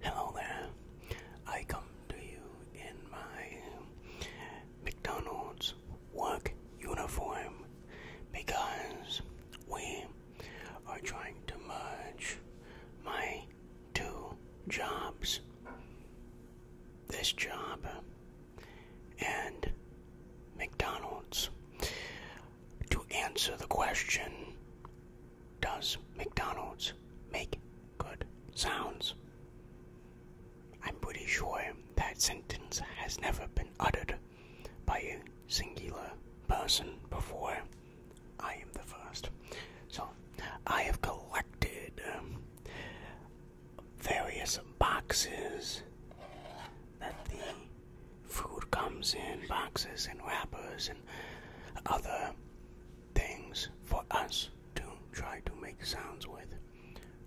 Hello there. I come to you in my McDonald's work uniform because we are trying to merge my two jobs. This job and McDonald's to answer the question does McDonald's make good sounds? I'm pretty sure that sentence has never been uttered by a singular person before. I am the first. So, I have collected um, various boxes that the food comes in, boxes and wrappers and other things for us to try to make sounds with.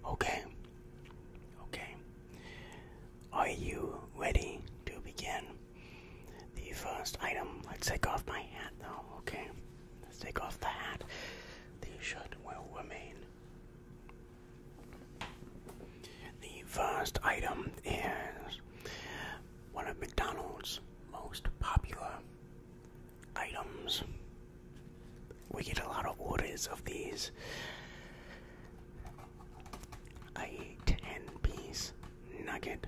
Okay? Okay. Are you ready to begin? The first item, let's take off my hat though, okay? Let's take off the hat. The shirt will remain. The first item is one of McDonald's most popular items. We get a lot of orders of these. I eat 10 piece nugget.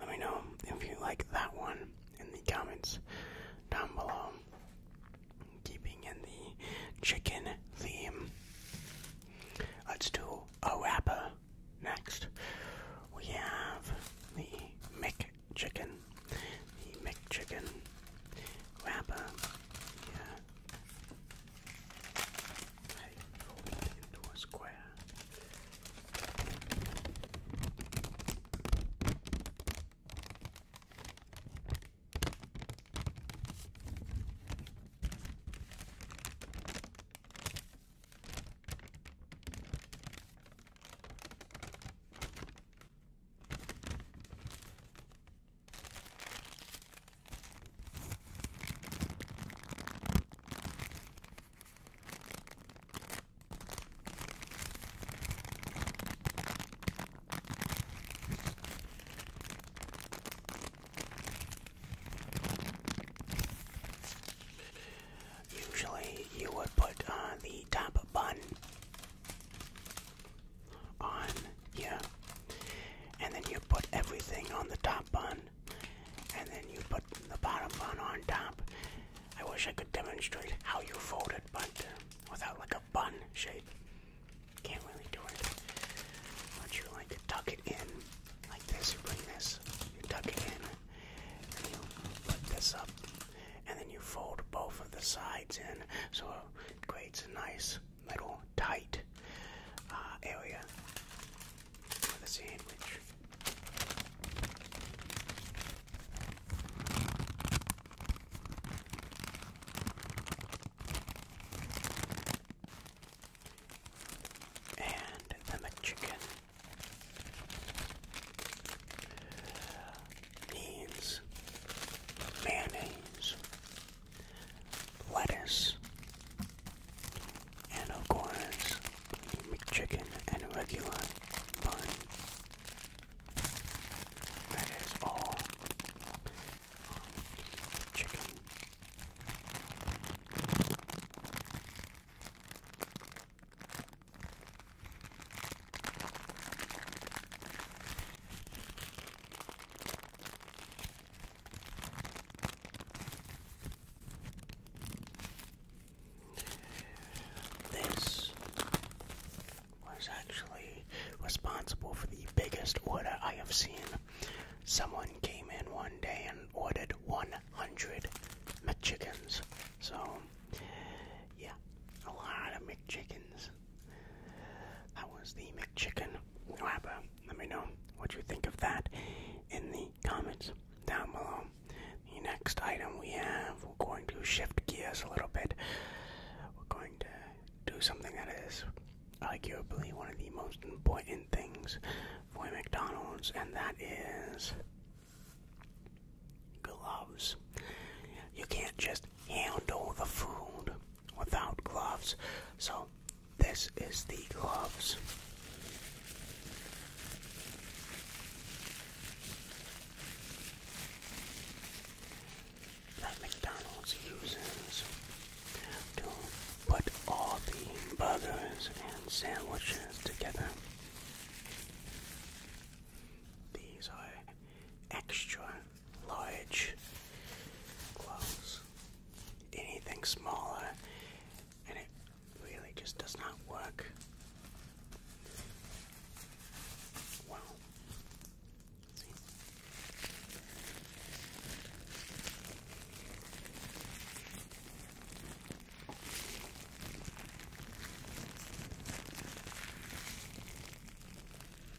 Let me know if you like that one in the comments down below. Keeping in the chicken theme. Let's do a wrapper next. We have the Mick Chicken the McChicken wrapper. Yeah. fold into a square. Usually, you would put uh, the top bun on here, and then you put everything on the top bun, and then you put the bottom bun on top. I wish I could demonstrate how you fold it, but without like a bun shape, can't really do it. But you like to tuck it in like this. You bring this, you tuck it in, and you put this up, and then you fold both of the sides in. So it creates a nice little tight uh, area for the sandwich. And the chicken needs mayonnaise, lettuce, and of course, McChicken and a regular bun. That is all chicken. This was actually responsible for the biggest order I have seen. Someone came in one day and ordered 100 McChickens. So, yeah, a lot of McChickens. That was the McChicken Whopper. Let me know what you think of that in the comments down below. The next item we have, we're going to shift gears a little bit. We're going to do something that is arguably one of the most important things for McDonald's, and that is gloves. You can't just handle the food without gloves. So, this is the gloves. McDonald's uses to put all the burgers and sandwiches together. These are extra large clothes. Anything smaller, and it really just does not work. Wow. See?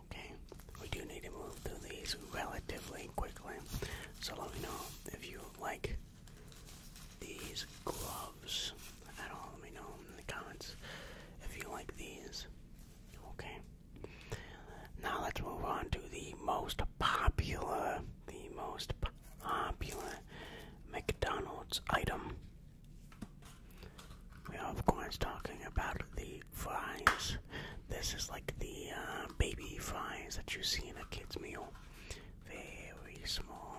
Okay, we do need to move through these relatively quickly, so let me know if you like these gloves at all. Let me know in the comments if you like these. Okay. Now let's move on to the most popular, the most popular McDonald's item. We are, of course, talking about the fries. This is like the uh, baby fries that you see in a kid's meal. Very small.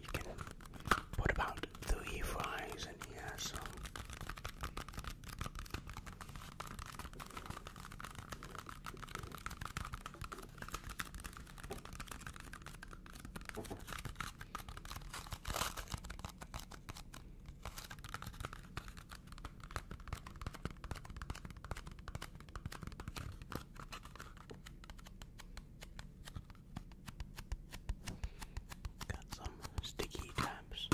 You can put about three fries in here, so Got some sticky tabs.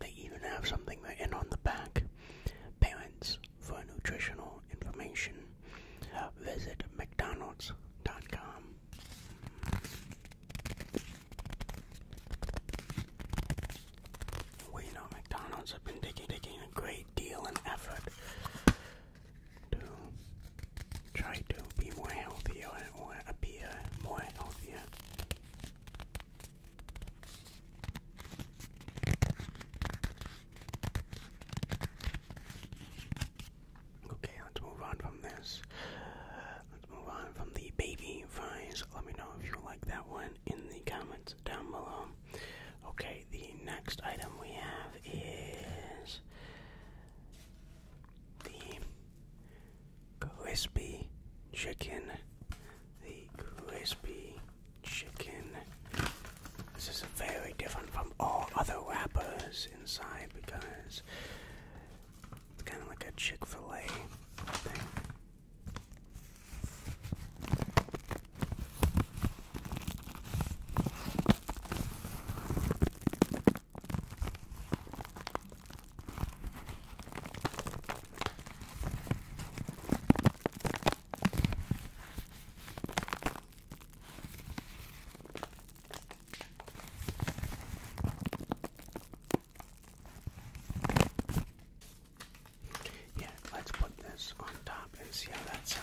They even have something written on the back. Parents for nutritional information, visit McDonald's.com. We know McDonald's have been taking, taking a great deal and effort to try to be more healthier or appear more healthier. Okay, let's move on from this. Let's move on from the baby vines. Let me know if you like that one in the comments down below. Okay, the next item we have is the crispy chicken. The crispy chicken. This is very different from all other wrappers inside because it's kind of like a Chick fil A thing. Yeah, let's put this on top and see how that sounds.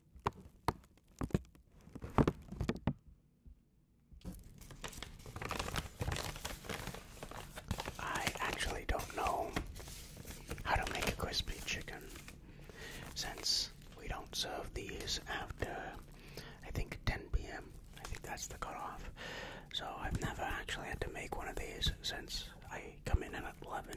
I actually don't know how to make a crispy chicken since we don't serve these after I think 10 p.m. I think that's the cutoff. So I've never actually had to make one of these since I come in at 11.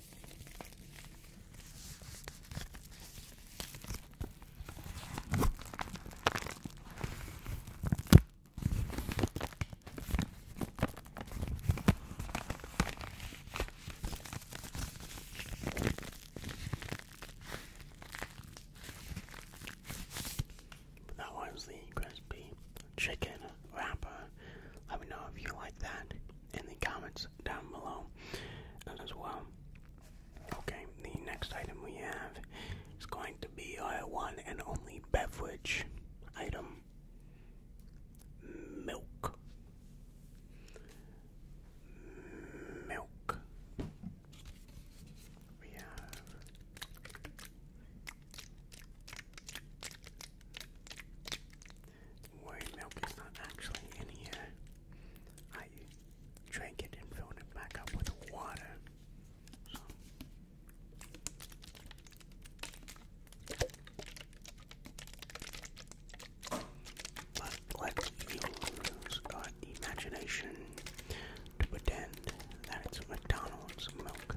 That was the crispy chicken wrapper. Let me know if you like that in the comments down below as well. Okay, the next item we have is going to be our one and only beverage item milk. Milk. We have worry milk is not actually in here. I drank it and filled it back up with water. But let's use our imagination to pretend that it's McDonald's milk.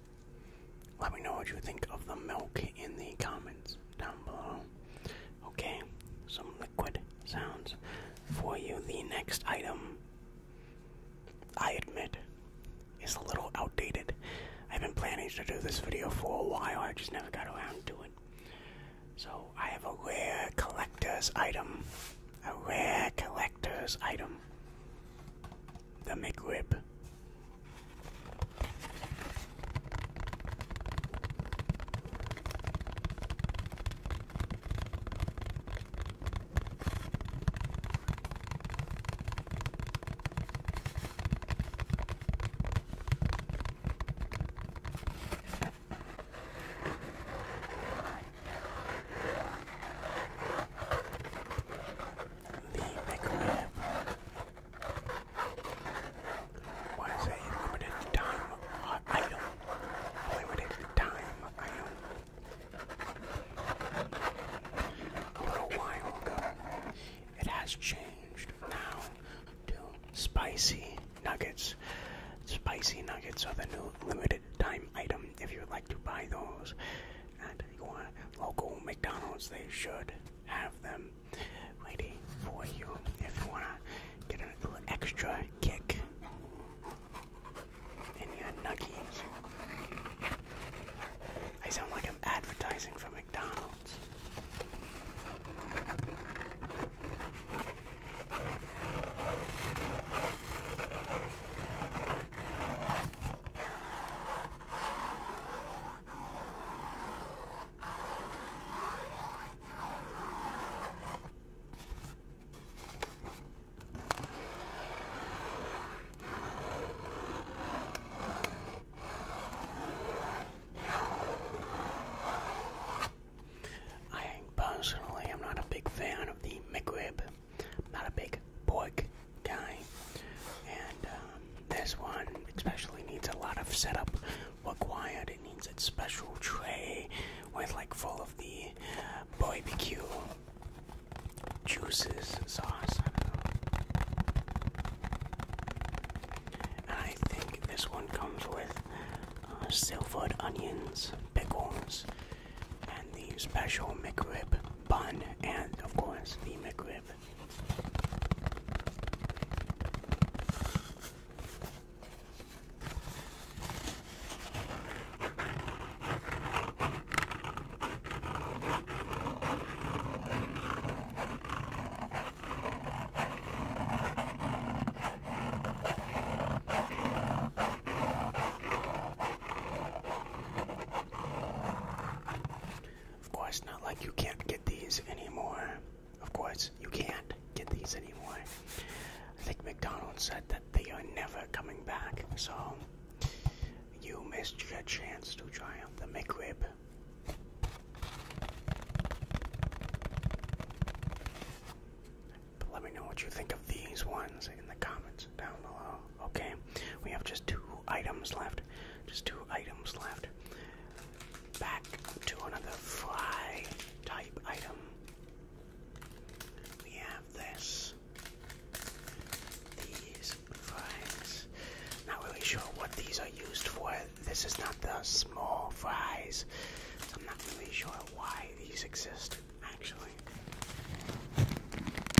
Let me know what you think of the milk in the comments down below. Okay, some liquid sounds for you. The next item, I admit, is a little outdated. I've been planning to do this video for a while, I just never got around to it. So, I have a rare collector's item. A rare collector's item the McRib. the Mega What is a limited time item? Limited time item. A little while ago, it has changed now to spicy nuggets. Spicy nuggets are the new limited time item. If you would like to buy those, and you want local McDonald's, they should have them ready for you if you want to get a little extra kick in your nuggies. I sound like I'm advertising for McDonald's. I personally am not a big fan of the McRib not a big book guy, and um, this one especially needs a lot of setup required. It needs its special tray with like full of the uh, barbecue juices sauce. I don't know. think this one comes with uh, silvered onions, pickles, and the special McRib bun, and of course the McRib. Of course, not like you can't get these anymore. Of course, you can't get these anymore. I think McDonald's said that they are never coming back, so you missed your chance to try out the McRib. let me know what you think of these ones in the comments down below. Okay, we have just two items left. Just two items left. Back to another fry type item. We have this. These fries. Not really sure what these are used for. This is not the small fries. I'm not really sure why these exist, actually.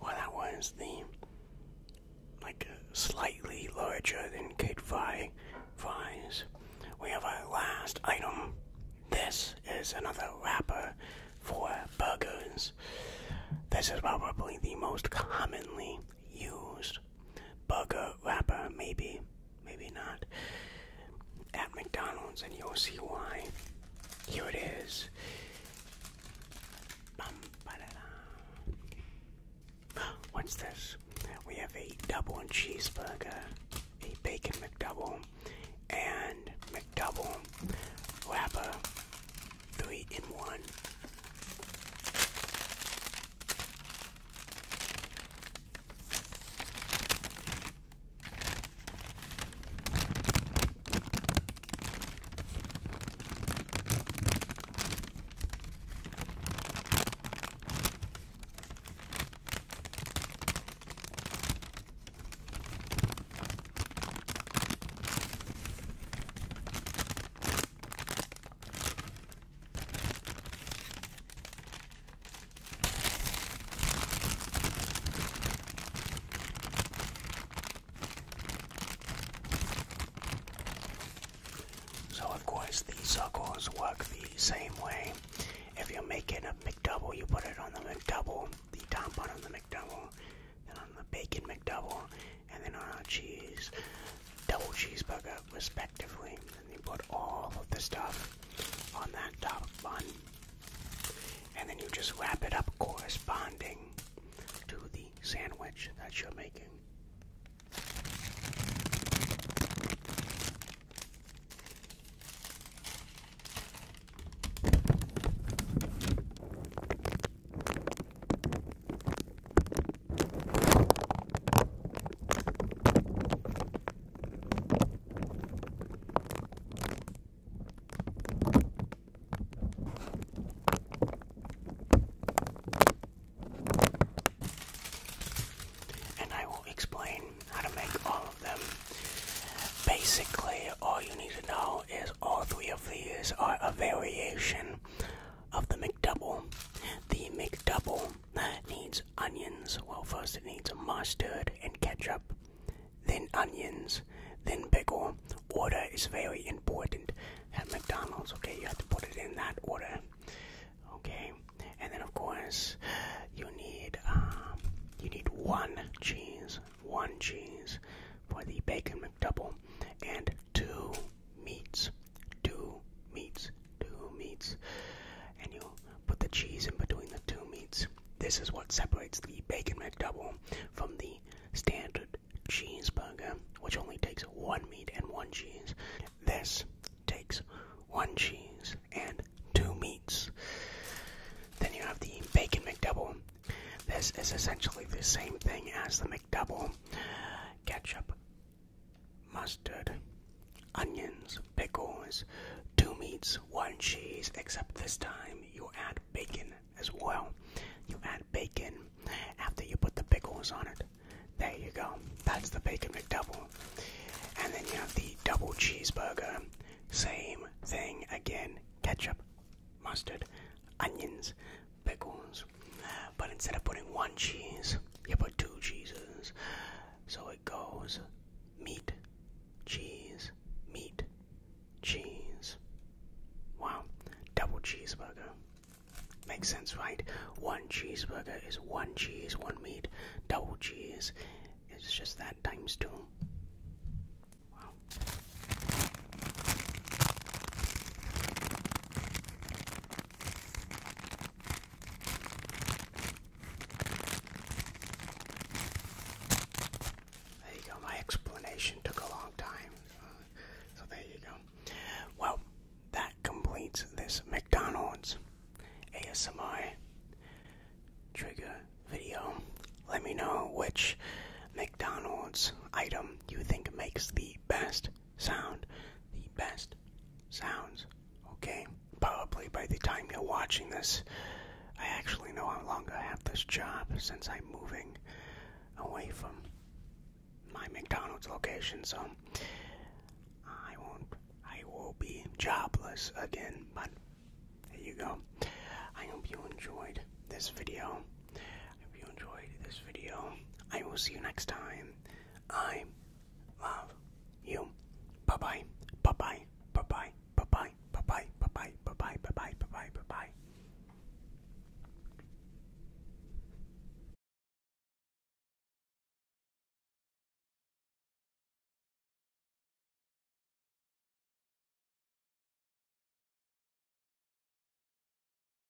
Well, that was the like uh, slightly larger than Kid Vi fries. We have our last item. This is another wrapper for burgers. This is probably the most commonly used burger wrapper, maybe, maybe not, at McDonald's, and you'll see why. Here it is. What's this? We have a double cheeseburger, a bacon McDouble, and McDouble wrapper three in one. So, of course, the circles work the same way. If you're making a McDouble, you put it on the McDouble, the top on the McDouble, then on the Bacon McDouble, and then on our cheese, double cheeseburger, respectively. And you put all of the stuff on that top bun, and then you just wrap it up corresponding to the sandwich that you're making. And I will explain how to make all of them. Basically, all you need to know is all three of these are a variation of the McDouble. The McDouble needs onions. Well, first it needs mustard and ketchup, then onions, then pickle. Order is very important at McDonald's, okay? You have to put it in that order, okay? And then, of course, you need, um, you need one cheese, one cheese for the bacon McDouble, and two meats, two meats, two meats, and you put the cheese in between the two meats. This is what separates the bacon McDouble from the standard cheeseburger, which only takes one meat and one cheese. This takes one cheese and two meats. Then you have the bacon McDouble. This is essentially the same thing as the double, ketchup, mustard, onions, pickles, two meats, one cheese, except this time you add bacon as well. You add bacon after you put the pickles on it. There you go. That's the bacon McDouble. And then you have the double cheeseburger. Same thing again. Ketchup, mustard, onions, pickles. But instead of putting one cheese, you put two cheeses. So it goes meat, cheese, meat, cheese. Wow, double cheeseburger. Makes sense, right? One cheeseburger is one cheese, one meat. Double cheese it's just that times two. Wow. There you go. My explanation took a long time. Uh, so there you go. Well, that completes this McDonald's ASMR trigger video. Let me know which McDonald's item you think makes the best sound, the best sounds, okay? Probably by the time you're watching this, I actually know how long I have this job since I'm moving away from my McDonald's location, so I won't, I will be jobless again, but there you go. I hope you enjoyed this video. If you enjoyed this video, I will see you next time. I love you. Bye bye. Bye bye. Bye bye. Bye bye. Bye bye. Bye bye. Bye bye. Bye bye. Bye bye. Bye bye.